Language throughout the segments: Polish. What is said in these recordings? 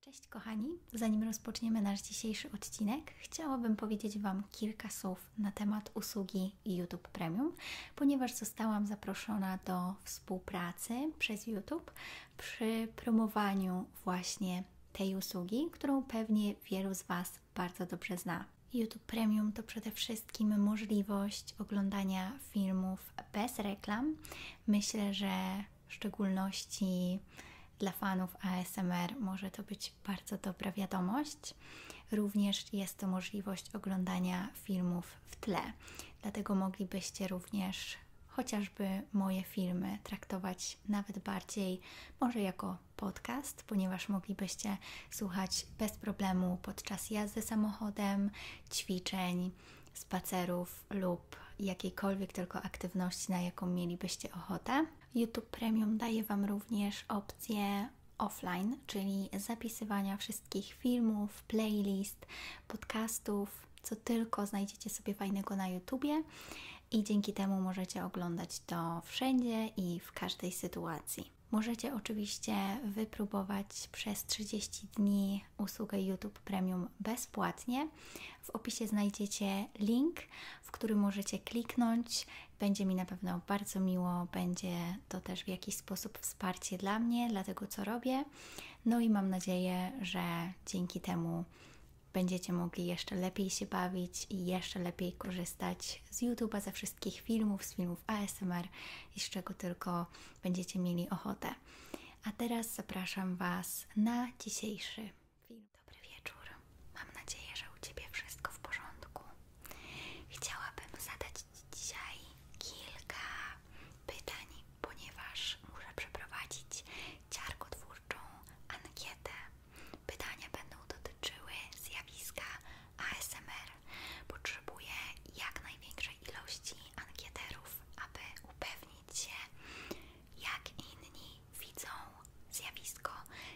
Cześć kochani, zanim rozpoczniemy nasz dzisiejszy odcinek, chciałabym powiedzieć Wam kilka słów na temat usługi YouTube Premium, ponieważ zostałam zaproszona do współpracy przez YouTube przy promowaniu właśnie tej usługi, którą pewnie wielu z Was bardzo dobrze zna. YouTube Premium to przede wszystkim możliwość oglądania filmów bez reklam. Myślę, że w szczególności dla fanów ASMR może to być bardzo dobra wiadomość. Również jest to możliwość oglądania filmów w tle, dlatego moglibyście również chociażby moje filmy traktować nawet bardziej może jako podcast, ponieważ moglibyście słuchać bez problemu podczas jazdy samochodem, ćwiczeń, spacerów podcastów lub jakiejkolwiek tylko aktywności, na jaką mielibyście ochotę. YouTube Premium daje Wam również opcję offline, czyli zapisywania wszystkich filmów, playlist, podcastów, co tylko znajdziecie sobie fajnego na YouTube, i dzięki temu możecie oglądać to wszędzie i w każdej sytuacji. Możecie oczywiście wypróbować przez 30 dni mi usługę YouTube Premium bezpłatnie. W opisie znajdziecie link, w który możecie kliknąć. Będzie mi na pewno bardzo miło, będzie to też w jakiś sposób wsparcie dla mnie, dla tego co robię. No i mam nadzieję, że dzięki temu będziecie mogli jeszcze lepiej się bawić i jeszcze lepiej korzystać z YouTube'a, ze wszystkich filmów, z filmów ASMR i z czego tylko będziecie mieli ochotę. A teraz zapraszam Was na dzisiejszy film. Dobry wieczór. Mam nadzieję, że u Ciebie wszystko w porządku. Chciałabym zadać Ci dzisiaj kilka pytań, ponieważ muszę przeprowadzić ciarkotwórczą ankietę. Pytania będą dotyczyły zjawiska ASMR. Potrzebuję jak największej ilości ankieterów, aby upewnić się, jak inni widzą zjawisko,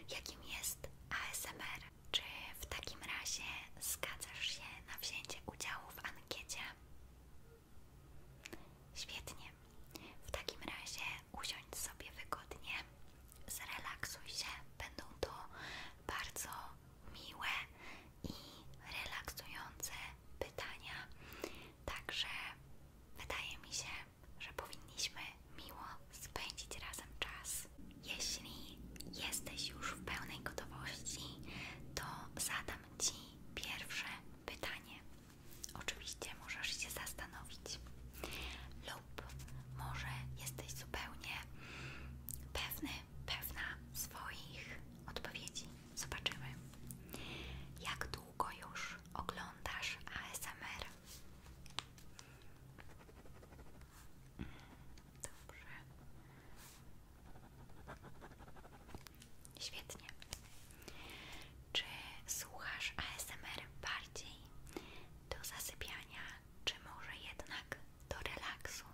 jakim jest ASMR. Czy w takim razie zgadzasz się na wzięcie udziału w ankiecie? Świetnie. W takim razie usiądź sobie wygodnie, zrelaksuj się. Będą to bardzo miłe i relaksujące pytania. Także wydaje mi się, że powinniśmy miło spędzić razem czas. Jeśli jesteś już w pełnej gotowości, to zadam Ci pierwsze pytanie. Oczywiście możesz się zastanowić, lub może jesteś zupełnie pewny, pewna swoich odpowiedzi. Zobaczymy. Jak długo już oglądasz ASMR? Dobrze. Świetnie. Czy słuchasz ASMR bardziej do zasypiania, czy może jednak do relaksu?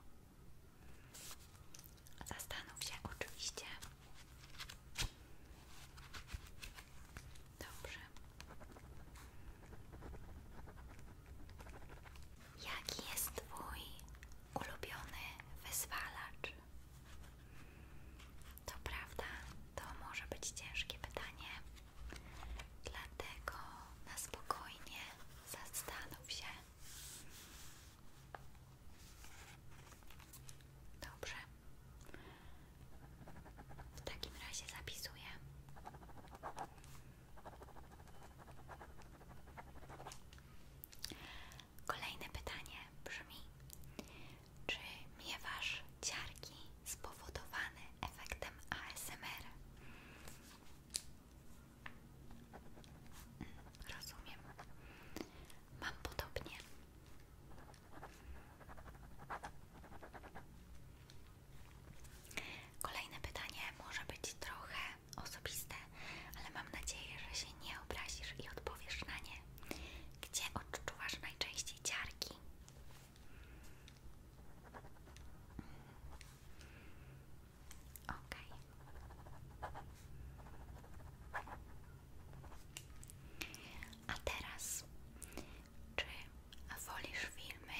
Zastanów się oczywiście. Dobrze. Jaki jest Twój ulubiony wyzwalacz? To prawda, to może być ciężkie pytanie, dlatego na spokojnie zastanów się, Dobrze. W takim razie zapisuję. Kolejne pytanie brzmi: Czy miewasz ciarki spowodowane efektem ASMR? Mm, rozumiem. Mam podobnie. Kolejne pytanie może być trochę osobiste, ale mam nadzieję, że się nie obrazisz i odpowiesz na nie. Gdzie odczuwasz najczęściej ciarki? Mm. Okej. A teraz, czy wolisz filmy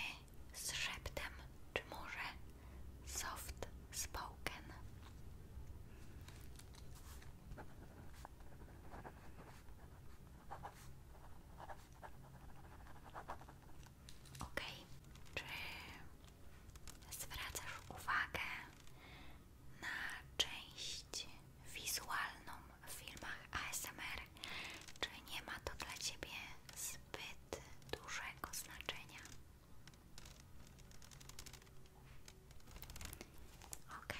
z szeptem, czy może soft spoken? Ok, czy zwracasz uwagę na część wizualną w filmach ASMR, czy nie ma to dla Ciebie zbyt dużego znaczenia? Ok.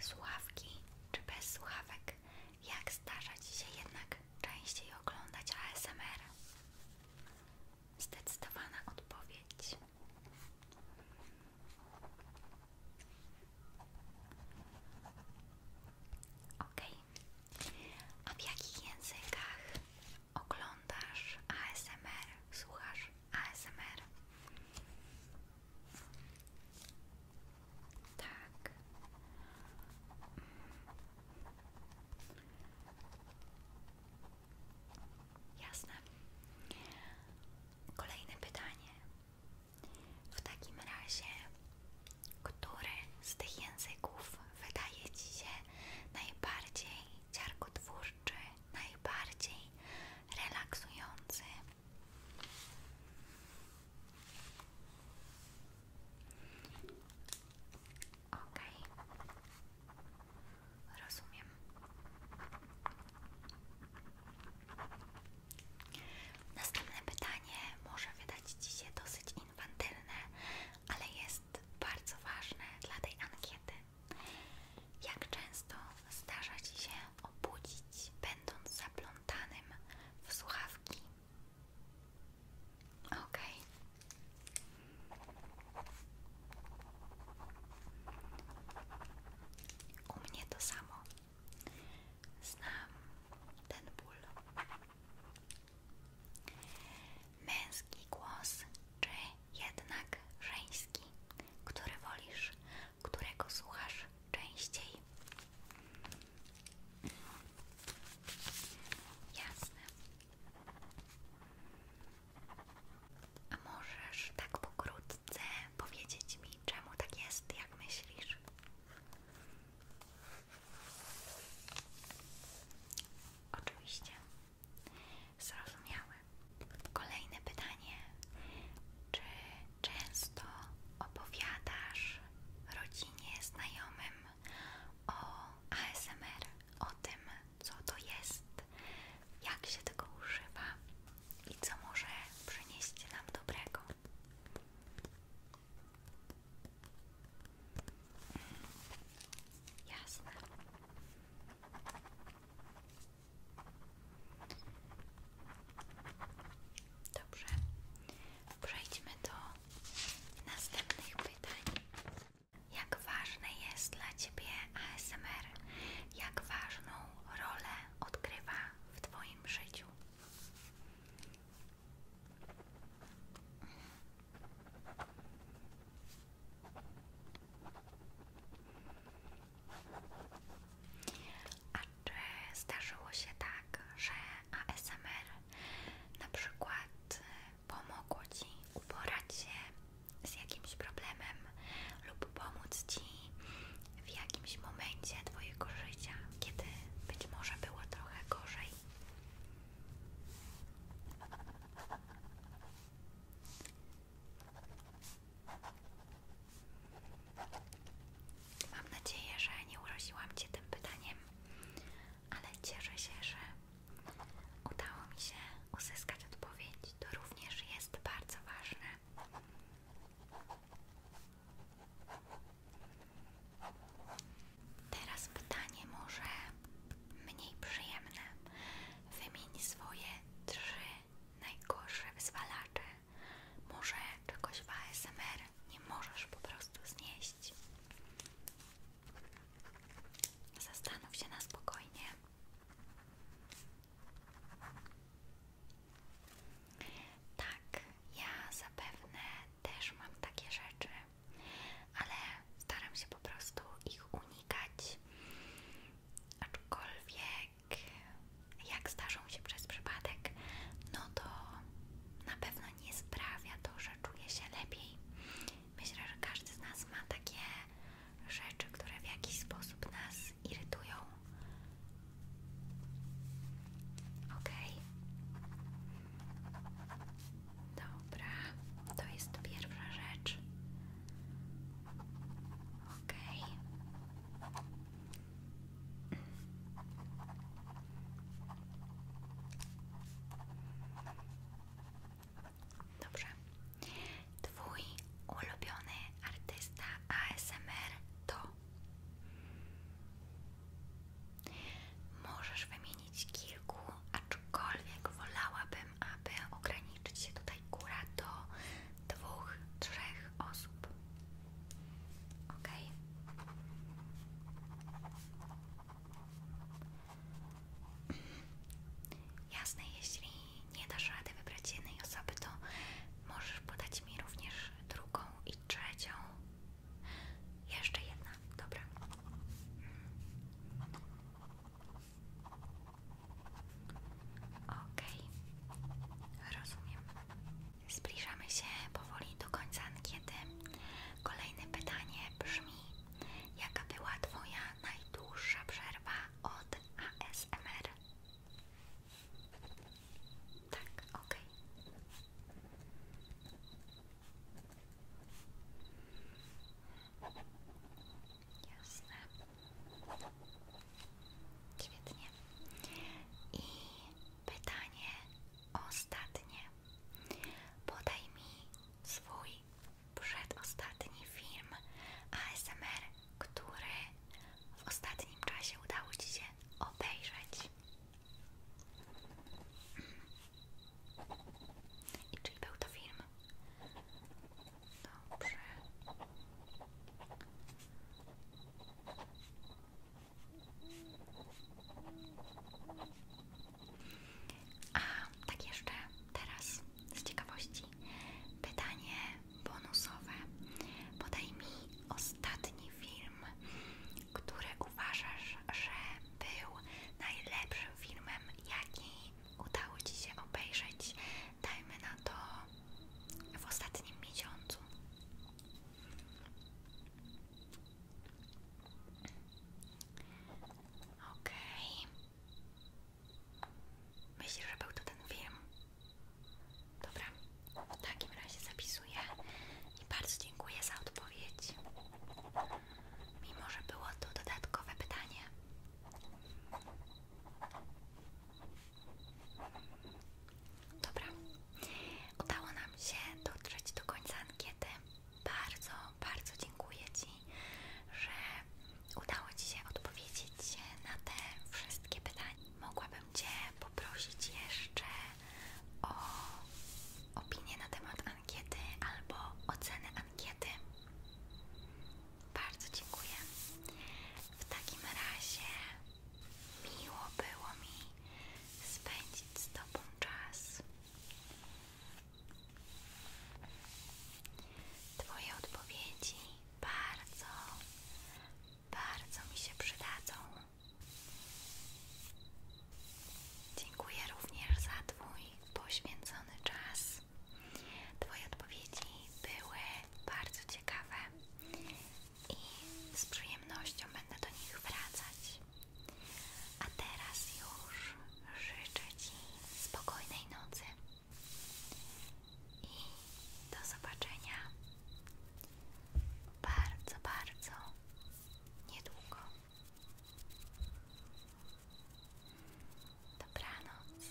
Słuchawki czy bez słuchawek? Jak starzać się jednak częściej oglądać ASMR? Zdecydowana odpowiedź. Ok. A w jakich językach oglądasz ASMR? Słuchasz ASMR? Tak. Mm. Jasne. Kolejne pytanie. W takim razie, który z tych języków wydaje Ci się najbardziej ciarkotwórczy, najbardziej relaksujący, Okej, rozumiem. Następne pytanie może wydać Ci się dosyć infantylne, ale jest bardzo ważne dla tej ankiety. Jak często zdarza Ci się obudzić, będąc zaplątanym w słuchawki? Okej. U mnie to samo. Znam ten ból. Męski głos czy jednak żeński? Który wolisz? którego słuchasz częściej. Jasne. A możesz tak pokrótce powiedzieć mi, czemu tak jest, jak myślisz? Oczywiście. Zrozumiałe. Kolejne pytanie. Czy często opowiadasz rodzinie, znajomym o ASMR, o tym, co to jest, jak się tego używa i co może przynieść nam dobrego? Hmm, jasne. Dobrze, przejdźmy do następnych pytań. Jak ważne jest dla Ciebie ASMR? Jak ważną rolę odgrywa w Twoim życiu? A czy zdarzyło się tak, że ASMR na przykład y, pomogło Ci uporać się z jakimś problemem lub pomóc Ci w jakimś momencie Twojego życia, kiedy być może było trochę gorzej? Mam nadzieję, że nie uroziłam Cię tym pytaniem, ale cieszę się, że udało mi się uzyskać odpowiedź. To również jest bardzo ważne. Teraz pytanie może mniej przyjemne. Wymień swoje trzy najgorsze wyzwalacze. Może czegoś w ASMR nie możesz po prostu znieść. Zastanów się na spokojnie. Tak, ja zapewne też mam takie rzeczy, ale staram się po prostu ich unikać. Aczkolwiek jak zdarzą się przez przypadek, no to na pewno nie sprawia to, że czuję się lepiej. Myślę, że każdy z nas ma takie rzeczy, które w jakiś sposób nas irytują. Ok. Dobra, to jest pierwsza rzecz. Ok. Dobrze. Twój ulubiony artysta ASMR to. Możesz wymienić kilku, aczkolwiek wolałabym, aby ograniczyć się tutaj góra do dwóch, trzech osób. Ok. Jasne, jeśli nie dasz rady wybrać jednej osoby, to możesz podać mi również drugą i trzecią. Jeszcze jedna, dobra. OK, rozumiem. Zbliżamy się powoli do końca ankiety. Kolejne pytanie brzmi: Jaka była Twoja najdłuższa przerwa od ASMR? Tak, okej. Jasne. Świetnie. I pytanie ostatnie. Podaj mi swój przedostatni film ASMR, który w ostatnim czasie udało Ci się obejrzeć. Mhm. czyli był to film Dobrze. A tak jeszcze teraz z ciekawości pytanie bonusowe. Podaj mi ostatni film, który uważasz, że był najlepszym filmem, jaki udało Ci się obejrzeć. Dajmy na to w ostatnim miesiącu. Okej. Okay. że był to ten film? Dobra, w takim razie zapisuję i bardzo dziękuję za odpowiedź. Mimo, że było to dodatkowe pytanie. Dobra, udało nam się dotrzeć do końca ankiety. Bardzo, bardzo dziękuję Ci, że udało Ci się odpowiedzieć na te wszystkie pytania. Mogłabym Cię poprosić jeszcze o opinię na temat ankiety albo ocenę ankiety. Bardzo dziękuję. W takim razie miło było mi spędzić z Tobą czas. Twoje odpowiedzi bardzo, bardzo mi się przydadzą. Dziękuję również za Twój poświęcony czas Twoje odpowiedzi były bardzo ciekawe i z przyjemnością będę do nich wracać. A teraz już życzę Ci spokojnej nocy i do zobaczenia bardzo, bardzo niedługo. Dobranoc.